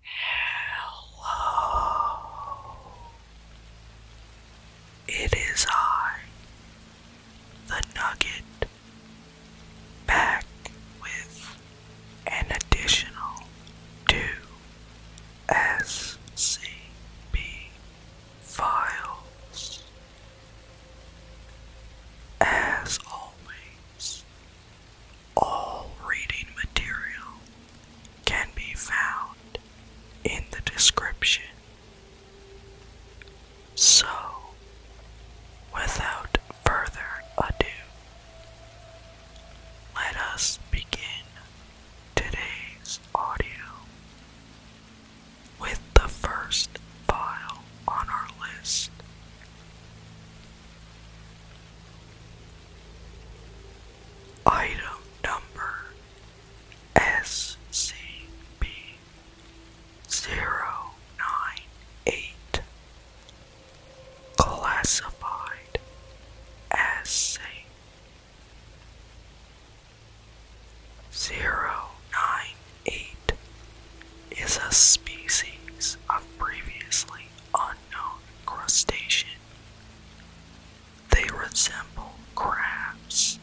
Hello. It is I, the Nugget, back with an additional two SCP files. As always, all reading material can be found in the description. So, without further ado, let us begin today's audio with the first file on our list Item number SCP 098 Classified as safe. 098 is a species of previously unknown crustacean. They resemble crabs,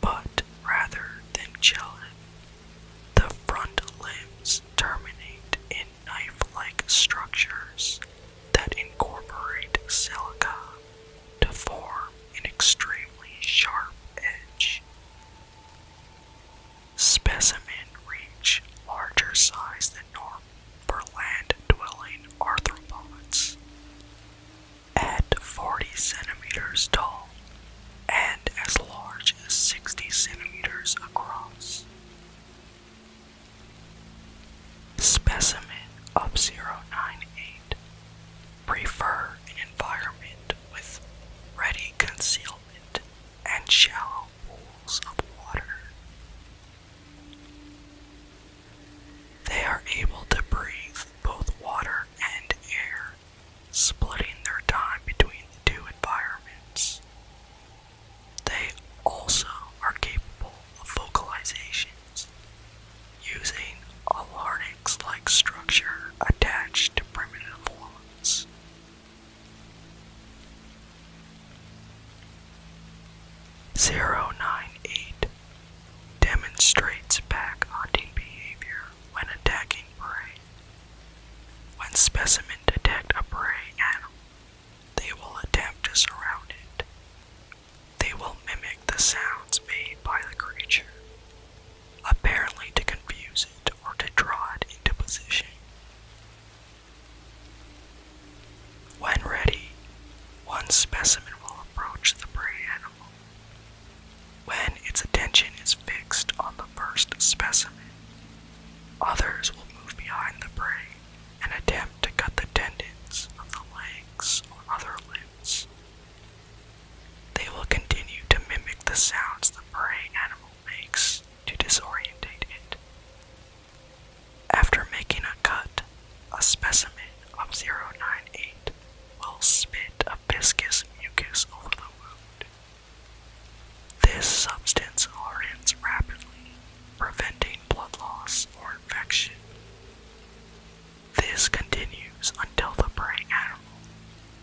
but rather than chelae, the front limbs terminate in knife-like structures that incorporate silica to form an extremely sharp edge. Specimen reach larger size than normal for land-dwelling arthropods. At 40 centimeters tall and as large as 60 centimeters across. Specimen of 098 prefer an environment with ready concealment and shallow pools of water. They are able to breathe both water and air, splitting their time between the two environments. They also are capable of vocalizations, using a larynx like structure attached to primitive lungs 098 demonstrates pack hunting behavior when attacking prey. When specimen detect a prey animal, they will attempt to surround it. They will mimic the sounds made by the creature apparently to confuse it or to draw it into position. When ready, one specimen will approach the prey animal. When its attention is fixed on the first specimen, others will move behind the prey and attempt to cut the tendons of the legs or other limbs, they will continue to mimic the sounds the prey animal makes to disorientate it. After making a cut, a specimen of 098 will spit a viscous mucus over the wound. This substance hardens rapidly, preventing blood loss or infection. This continues until the prey animal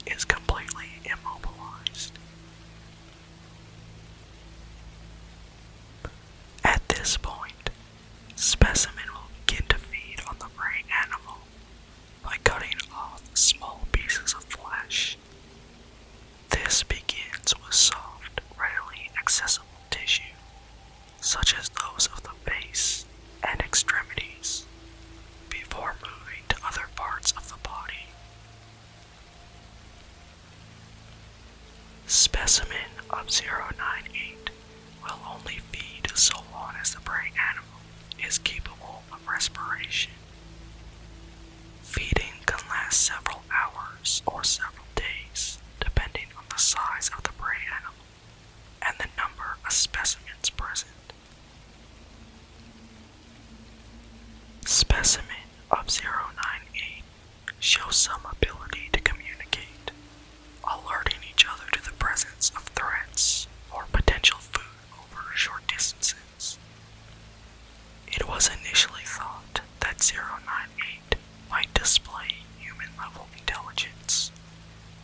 is completely immobilized. At this point, specimen will begin to feed on the prey animal by cutting off small pieces of flesh. This begins with soft, readily accessible tissue, such as those of the face and extremities before moving to other parts of the body. Specimen of 098 will only feed so long as the prey animal is capable of respiration. Feeding can last several hours or several days, depending on the size of the prey animal and the number of specimens present. Specimen of 098 shows some ability to communicate, alerting each other to the presence of threats or potential food over short distances. It was initially thought that 098 might display human level intelligence,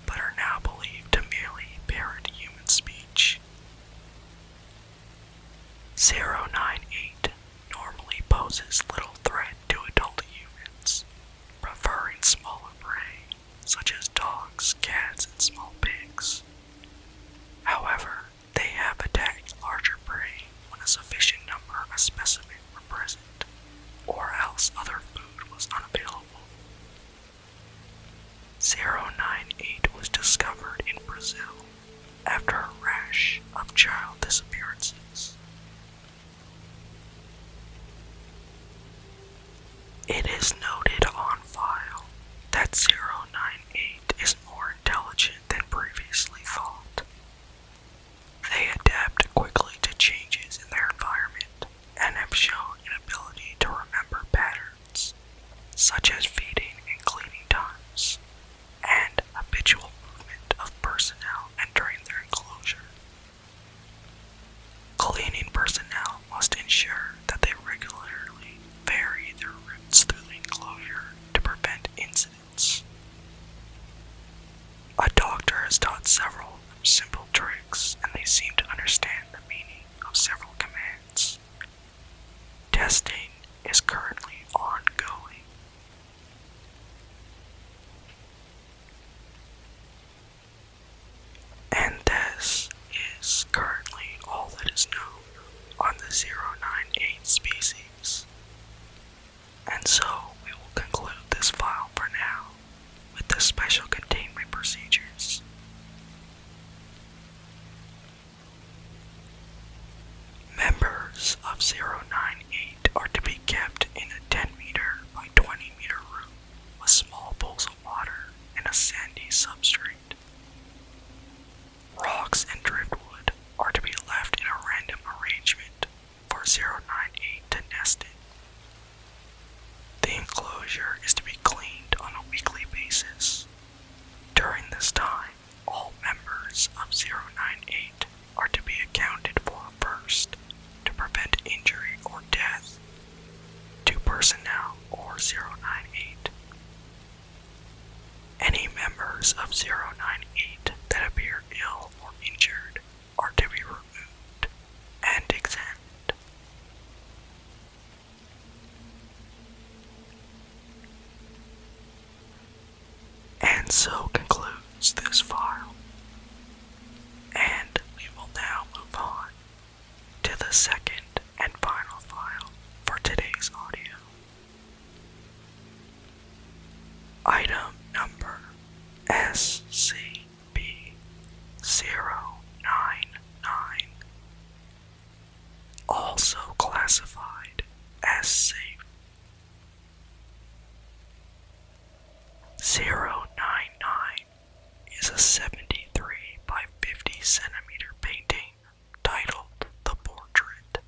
but are now believed to merely parrot human speech. 098 normally poses little threat to adult humans, preferring smaller prey such as dogs, cats, and small pigs. However, they have attacked larger prey when a sufficient number of specimens were present, or else other food was unavailable, 098 was discovered in Brazil after a rash of child disappearances. It is noted on file that 098 is more intelligent than previously thought. They adapt quickly to changes in their environment and have shown an ability to remember patterns, such as feeding and cleaning times, and habitual movement of personnel entering their enclosure. Cleaning personnel must ensure that they regularly vary their routes through the enclosure to prevent incidents. A doctor has taught several simple tricks and they seem to understand the meaning of several commands. Testing is currently ongoing. And this is currently all that is known on the 098 species. And so we will conclude this file for now with the special containment procedures. Members of 098 are to be kept in a 10 meter by 20 meter room with small pools of water and a sandy substrate. Rocks and driftwood are to be left in a random arrangement 4098 to nest it. The enclosure is to be cleaned on a weekly basis. During this time, all members of 098 are to be accounted for first to prevent injury or death to personnel or 098. Any members of 098 that appear ill or injured are to be removed and examined. And so concludes this file. And we will now move on to the second and final file for today's audio. Item number SCP-099, also classified as safe. 099 is a 73 by 50 centimeter painting titled The Portrait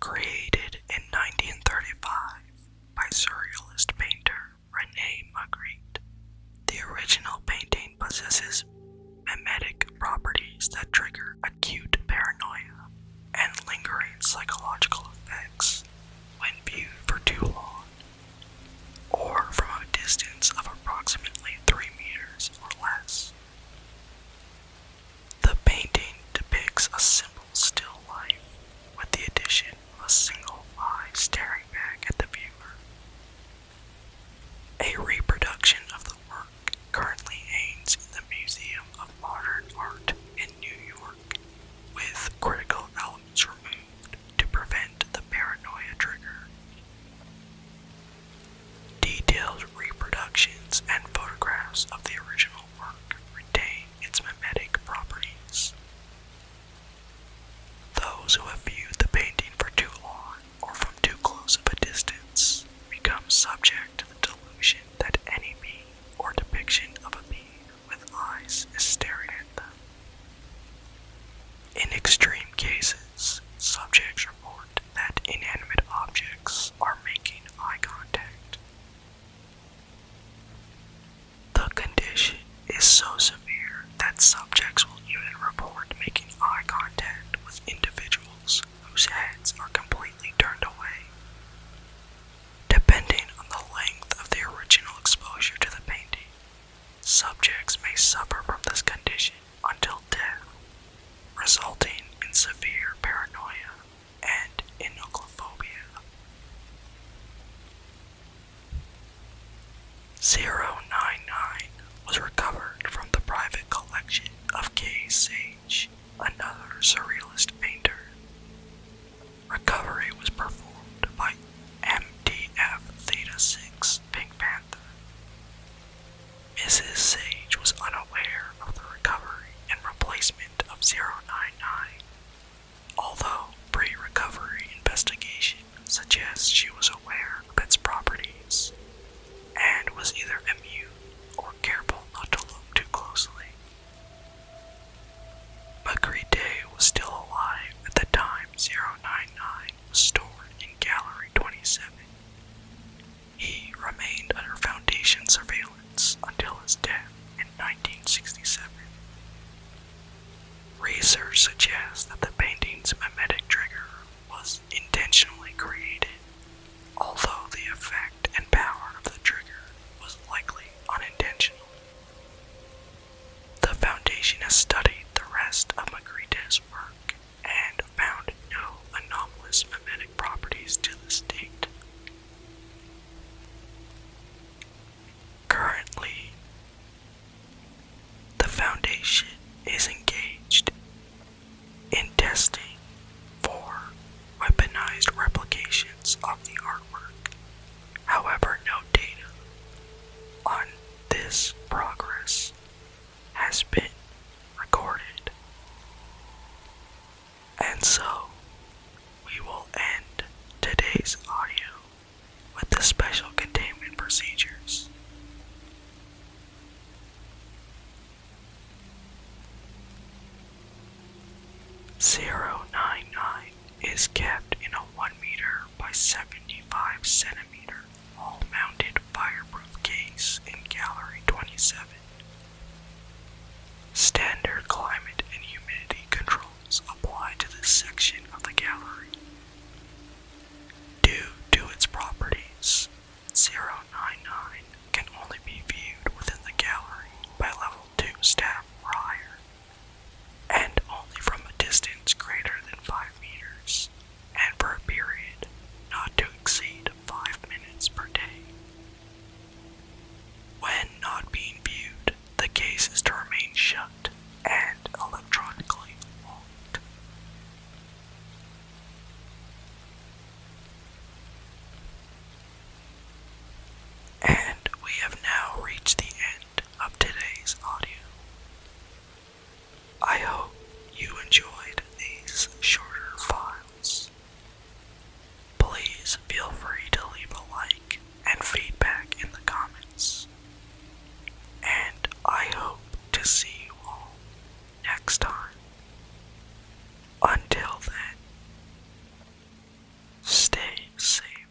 Created in 1935 by surrealist painter Rene Magritte, the original painting possesses mimetic properties that trigger acute paranoia and lingering psychological effects when viewed for too long or from a distance of approximately 3 meters or less. The painting depicts a simple still life with the addition of a single eye staring back at the viewer. A reproduction of the work currently hangs in the Museum of Modern Art in New York, with critical elements removed to prevent the paranoia trigger. Detailed reproductions and photographs of the original work retain its mimetic properties. Those who have viewed the painting for too long or from too close of a distance become subject to the delusion that any bee or depiction of a bee with eyes is staring at them. In extreme cases, subjects report that inanimate objects are making eye contact. The condition is so severe that subjects will even report making eye contact with individuals whose heads are completely turned away. Depending on the length of the original exposure to the painting, subjects may suffer from this condition until death, resulting in severe paranoia and inocophobia. 099 was recovered from the private collection of K. Sage, another surrealist painter. Recovery was performed by MDF Theta 6 Pink Panther. Mrs. Sage was unaware of the recovery and replacement of 099, although pre recovery investigation suggests she was aware of its properties and was either immune or careful not to look too closely. Day was still alive at the time 099 was stored in Gallery 27. He remained under Foundation surveillance until his death in 1967. Research suggest that the painting's mimetic trigger was intentionally created, although the effect and power of the trigger was likely unintentional. The Foundation has studied the rest of Magritte's work and found no anomalous mimetic properties to this date. Currently, the Foundation is engaged in testing for weaponized replications of the artwork. However, no data on this progress has been recorded. And so, we will end today's audio with the special containment procedures. Zero nine nine is kept in a one meter by 75 centimeter all-mounted fireproof case in gallery 27. Standard climate and humidity controls apply to this section of the gallery. Due to its properties, 099 can only be viewed within the gallery by level 2 staff or higher, and only from a distance greater than 5 meters and for a period not to exceed five minutes per day. When not being viewed, the case is to remain shut and electronically locked. And we have now reached the end of today's audio. I hope you enjoyed these shorter files. Please feel free to leave a like and feedback in the comments. And I hope to see you all next time. Until then, stay safe.